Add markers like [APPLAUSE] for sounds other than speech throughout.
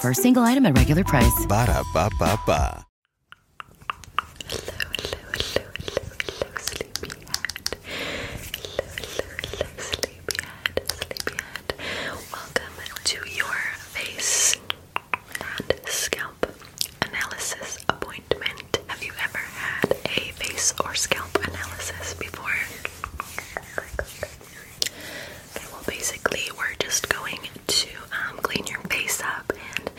For a single item at regular price. Ba da ba ba ba. sleepyhead. sleepyhead, sleepyhead. Welcome to your face and scalp analysis appointment. Have you ever had a face or scalp analysis before? well, basically, we're just going to um, clean your face up and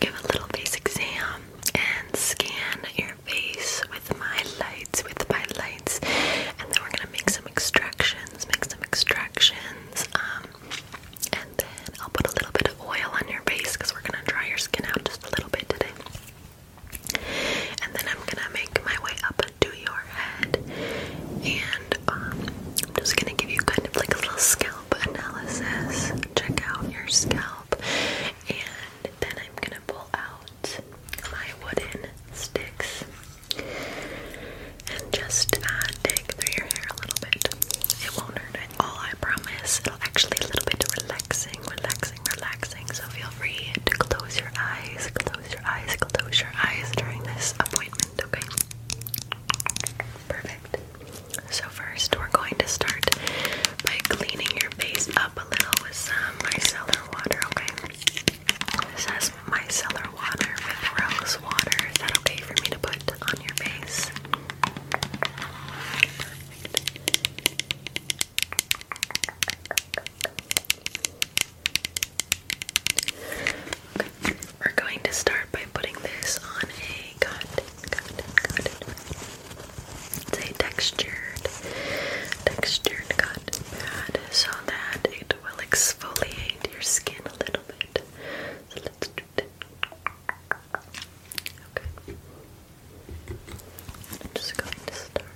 give a little face exam and scan your face with my lights, with my lights, and then we're gonna make some extractions, make some extractions, um, and then I'll put a little bit of oil on your face because we're gonna dry your skin out just a little bit today. And then I'm gonna make my way up up your head, and um, just gonna give you kind of like a little scalp analysis. Check out your scalp, and then I'm gonna pull out my wooden sticks and just uh, dig through your hair a little bit. It won't hurt at all, I promise. It'll actually a little bit relaxing, relaxing, relaxing. So feel free to close your eyes, close your eyes, close your eyes during this appointment, okay? Perfect. So, first, we're going to start by cleaning your face up a little with some micellar water, okay? This has micellar water with rose water. Is that okay for me to put on your face? Perfect. Okay. We're going to start by putting this on a cotton, cotton, cotton. a textured, textured cut pad so that it will exfoliate your skin a little bit. So let's do that. Okay. just going to start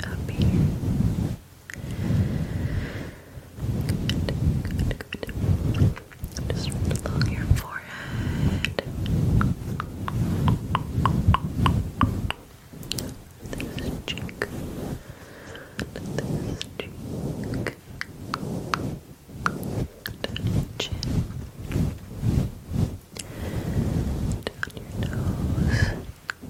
up here. Good, good, Just along your forehead. This cheek. This cheek. chin. Down your nose. Okay.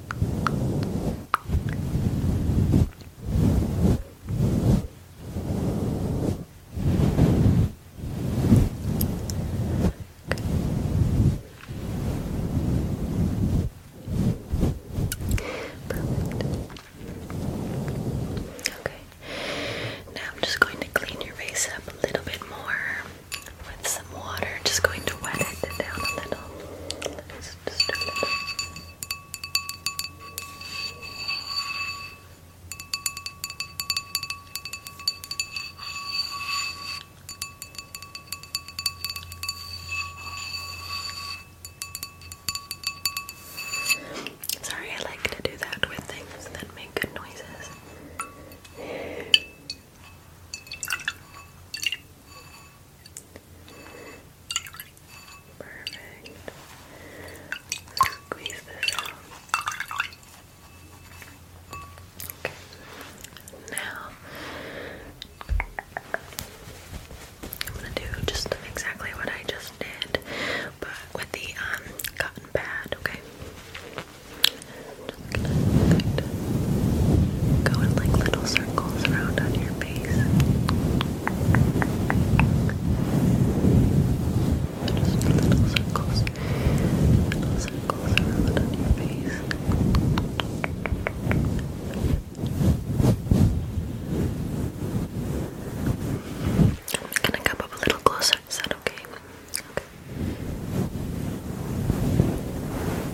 Now I'm just going to clean your face up a little bit more with some water, just going to wet it down a little. Sorry, I like to do that with things that make good noises. Perfect. Squeeze this out. Okay. Now I'm gonna do just exactly what I just did, but with the um cotton pad, okay? Good. Go in like little circles around on your face. Just little circles. Little circles around on your face. I'm gonna come up a little closer. Okay.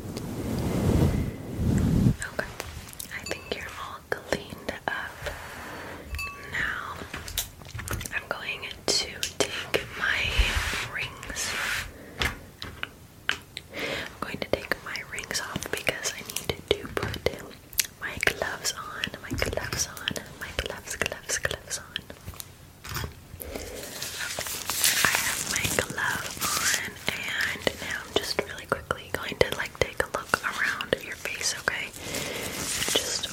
Okay, I think you're all cleaned up now. I'm going to take my rings. I'm going to take my rings off because I need to put my gloves on, my gloves on, my gloves, gloves, gloves on. I have my glove on, and now I'm just really quickly going to like take a look around your face, okay? Just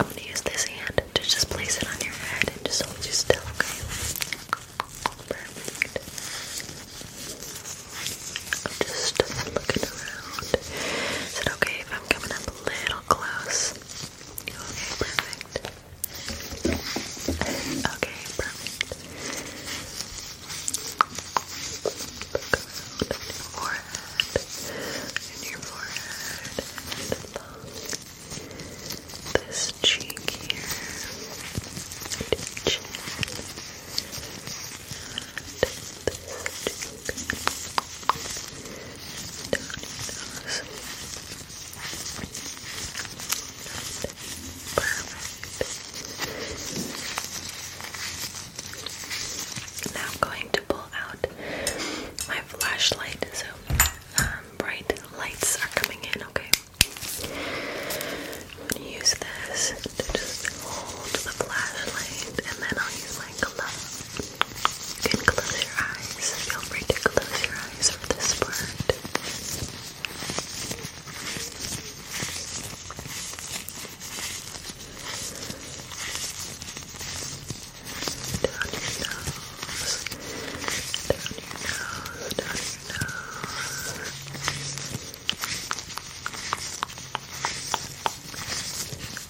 I'm gonna use this hand to just place it on your head and just hold you still, okay? I'm just looking around. Is it okay if I'm coming up a little? close. Okay, perfect. Okay, perfect. forehead, and your forehead, and this cheek here, and this now I'm going to pull out my flashlight so um, bright lights are coming in, okay? I'm gonna use this to just hold the flashlight and then I'll use my glove you can close your eyes. Feel free to close your eyes for this part. Down your nose. Down your nose. Down your nose.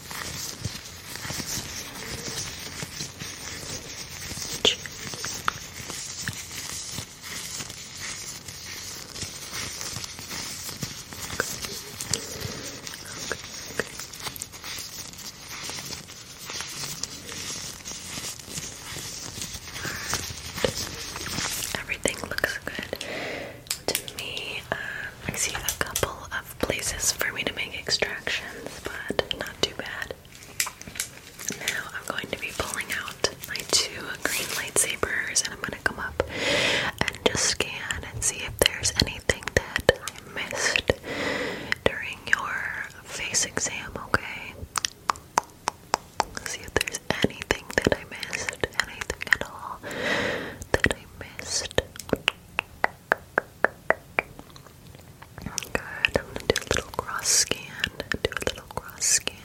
Everything looks good to me. Um, I see a couple places for me to make extractions, but not too bad. Now I'm going to be pulling out my two green lightsabers and I'm going to come up and just scan and see if there's anything that I missed during your face exam, okay? See if there's anything that I missed, anything at all that I missed. Good. I'm gonna do a little cross scan. Do a little cross scan.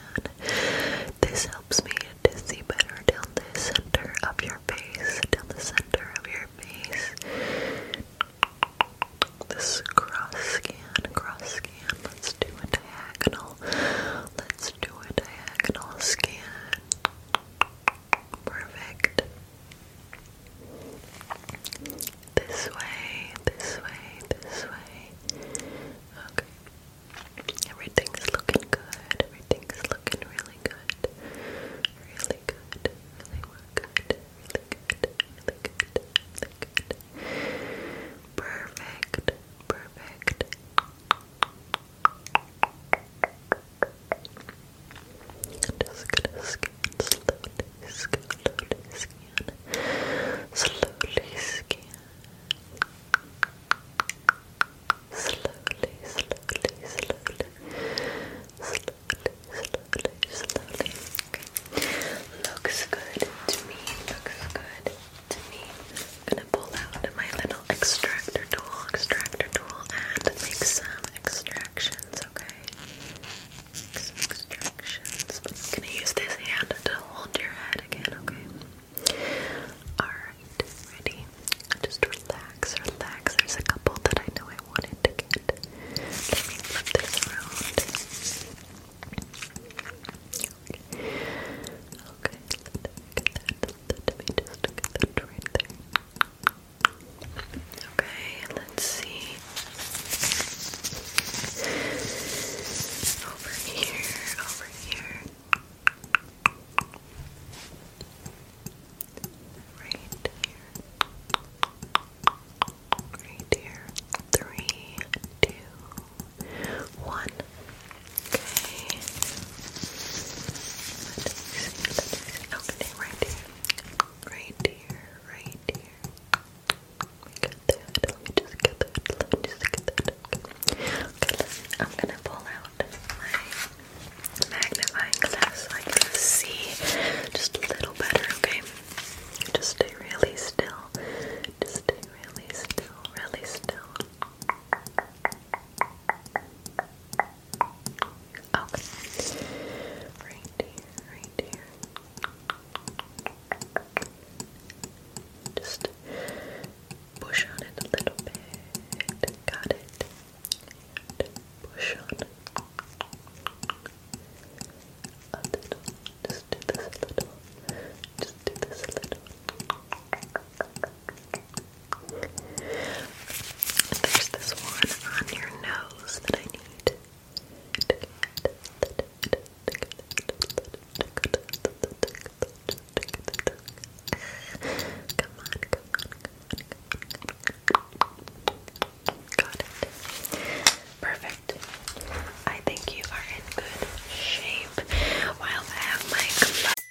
This helps me to see better down the center of your face. Down the center of your face. This cross scan, cross scan. Let's do a diagonal. Let's do a diagonal scan. Perfect. This way, this way, this way. Okay. Everything's looking good. Everything's looking really good. Really good. Really good. Really good. Really good. Really good. Perfect. Perfect. Just gonna scan slowly, slowly scan, slowly scan, slowly, slowly, slowly, slowly, slowly, slowly. Okay. Looks good to me. Looks good to me. I'm gonna pull out my little extractor tool, extractor tool, and make some extractions, okay? extractions. I'm use this hand to hold your head again, okay? Alright, ready? Just relax, relax. There's a couple that I know I wanted to get. Let me flip this around. Okay, okay. Let me that. Let me just get that right there. Okay, let's see. Over here, over here. Right here. Right here. Three, two, one. Okay see. Okay, right here. Right here, right here. We got that. Let me just get that. Let me just get that. Okay, I'm gonna pull out my magnifying glass so I can see just a little better, okay? Just stay really still. Just stay really still, really still. Okay. Right here, right here. Just push on it a little bit. Got it. push on. A little. Just do this a little. Just do this a little. There's this one on your nose that I need. Got it. Perfect. I think you are in good shape. While I have my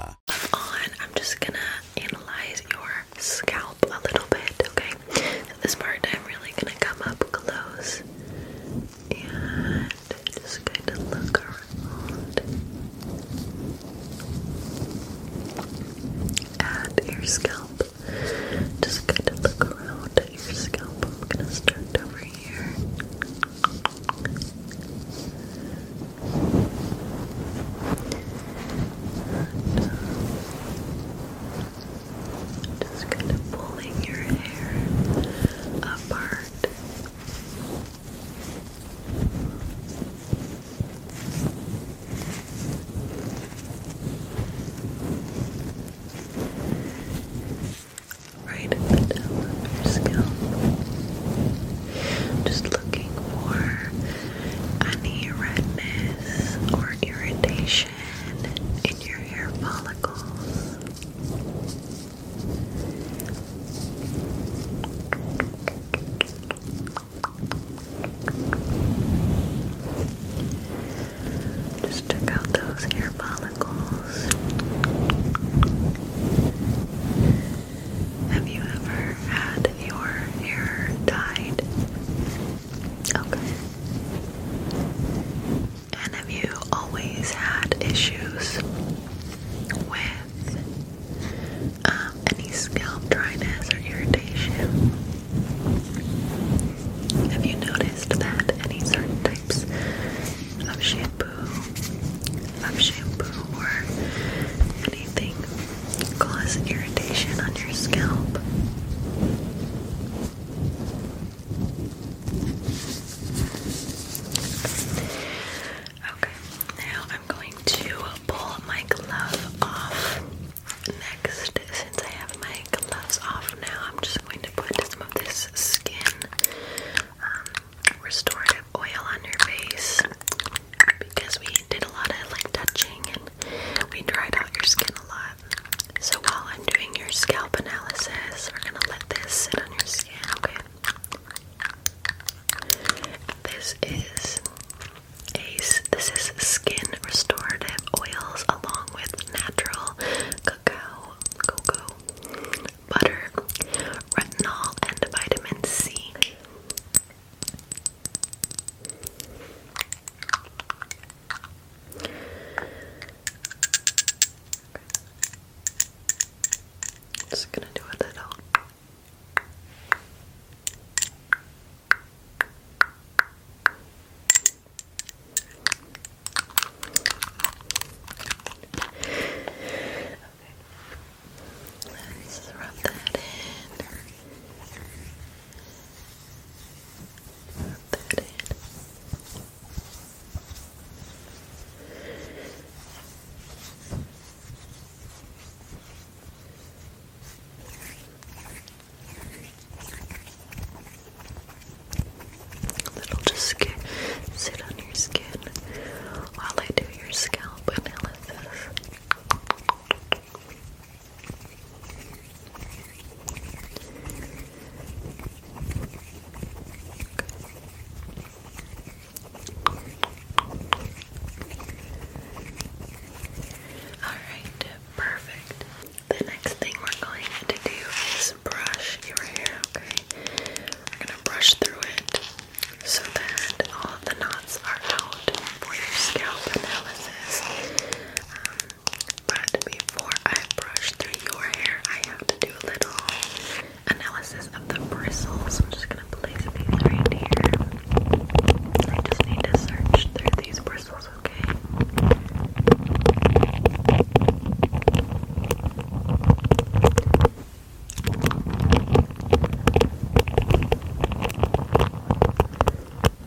on, I'm just gonna analyze your scalp a little bit, okay? this part, I'm really gonna come up close and just kind of look around at your scalp. Just kind of look around at your scalp. I'm gonna start over here. Just kind of pulling your hair apart right at the Just looking for any redness or irritation in your hair follicles. Just check out those hair follicles. Have you ever had your hair dyed? Okay. And have you always had issues with um, any scalp dryness or irritation? Have you noticed that any certain types of shampoo, of shampoo or anything cause irritation on your scalp. Okay, now I'm going to pull my glove off. Next, since I have my gloves off now, I'm just going to put some of this skin um, restorative oil on your face because we did a lot of like touching and we dried out your skin a lot. So while I'm doing your scalp analysis, we're gonna let this sit on your skin, okay? This is a this is skin restorative oils along with natural cacao cocoa butter, retinol, and vitamin C. just gonna do a little. Let's rub that in. Rub that in. That'll just sit on your skin while I do your scalp analysis. Alright, perfect. The next thing we're going to do is brush your hair, okay? We're going to brush through it so that all of the knots are out for your scalp analysis. Um, but before I brush through your hair, I have to do a little analysis of the bristles. I'm just gonna place these right here. I just need to search through these bristles, okay?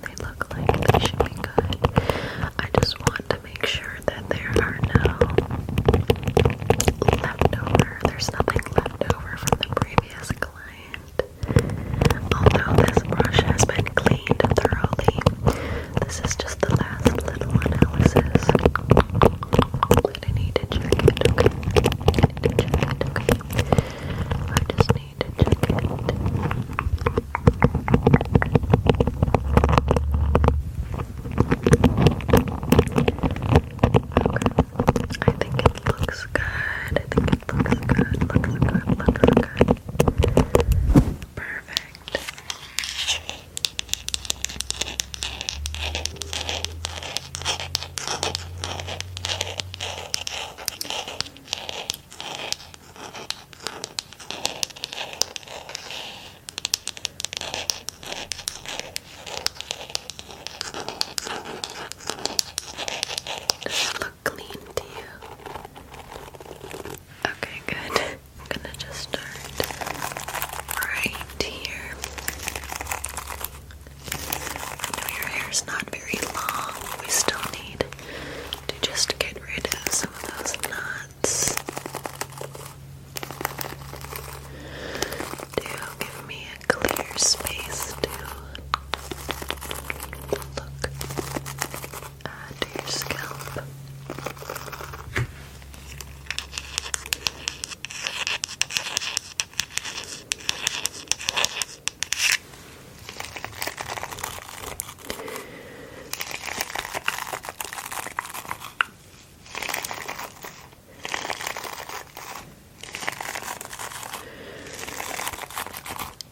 They look like they should be good. I just want to make sure that there are no leftover. There's nothing left over from the previous client. Although this brush has been cleaned thoroughly, this is just the last little analysis going need to check okay? I need a check okay? I just need to check Okay. I think it looks good. I think it looks good. Looks good. Looks good. Perfect. Does look clean to you? Okay, good. [LAUGHS] I'm gonna just start right light I know your hair is not very long, we still need to just get rid of some of those knots. Do give me a clear space to look at your scalp.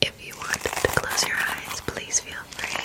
If you want to close your eyes, please feel free.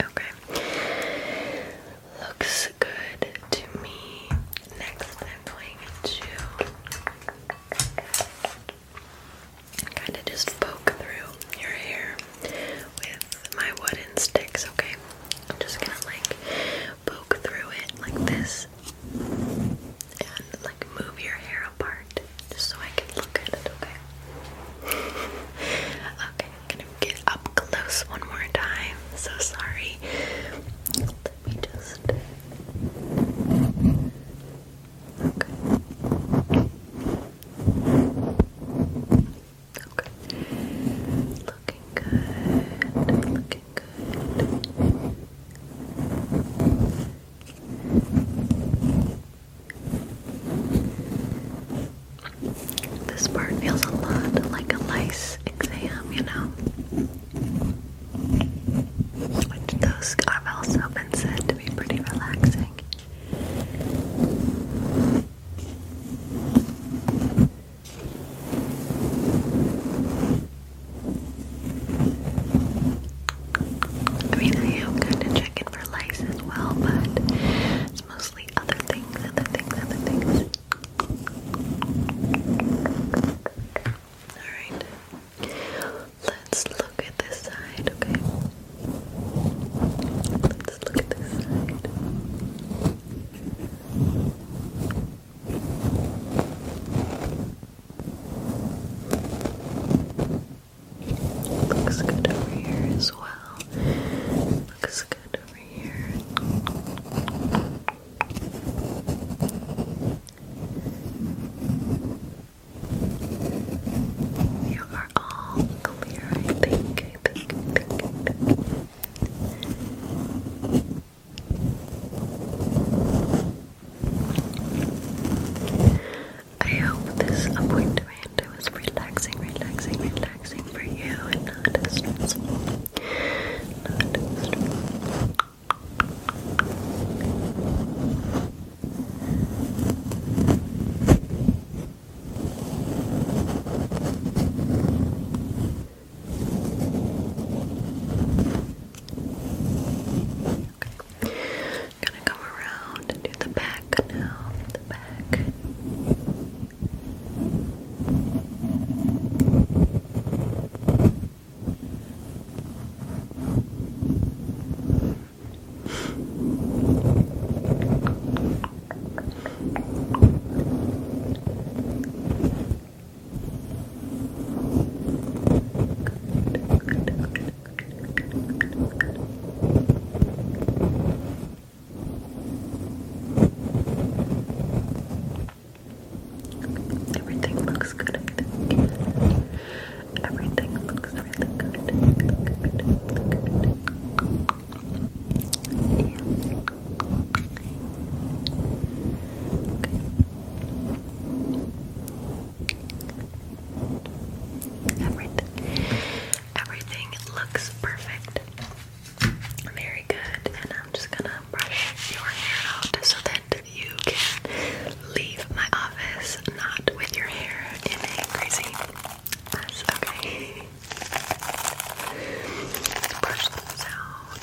Okay. Looks good to me. Next, I'm going to kind of just poke through your hair with my wooden sticks, okay? I'm just gonna like poke through it like this and like move your hair apart just so I can look at it, okay? [LAUGHS] okay, I'm gonna get up close one more time. So sorry. Let me just. Okay. Okay. Looking good. Looking good. This part feels a lot like a lice exam, you know? Which those have also been said to be pretty relaxing. I mean, I am kind of checking for lice as well, but it's mostly other things, other things, other things. Alright, let's look at this side, okay? Let's look at this side. Looks good over here as well. Looks good over here. You are all clear, I think. I think, I think, I hope this appointment was relaxing, relaxing, relaxing for you and not stressful. Not stressful. Okay. i gonna go around and do the back The back. Everything looks good. Everything looks really good. Yeah. Everything, everything looks perfect. Very good. And I'm just gonna brush your hair out so that you can leave my office not with your hair in a crazy mess. Okay. Brush those out.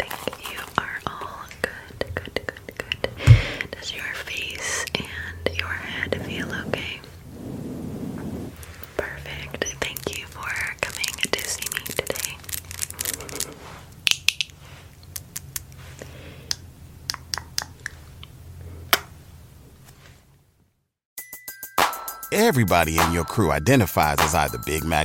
I think you are all good, good, good, good. Does your face and your head feel okay? Perfect. Thank you for coming to see me today. Everybody in your crew identifies as either Big Mac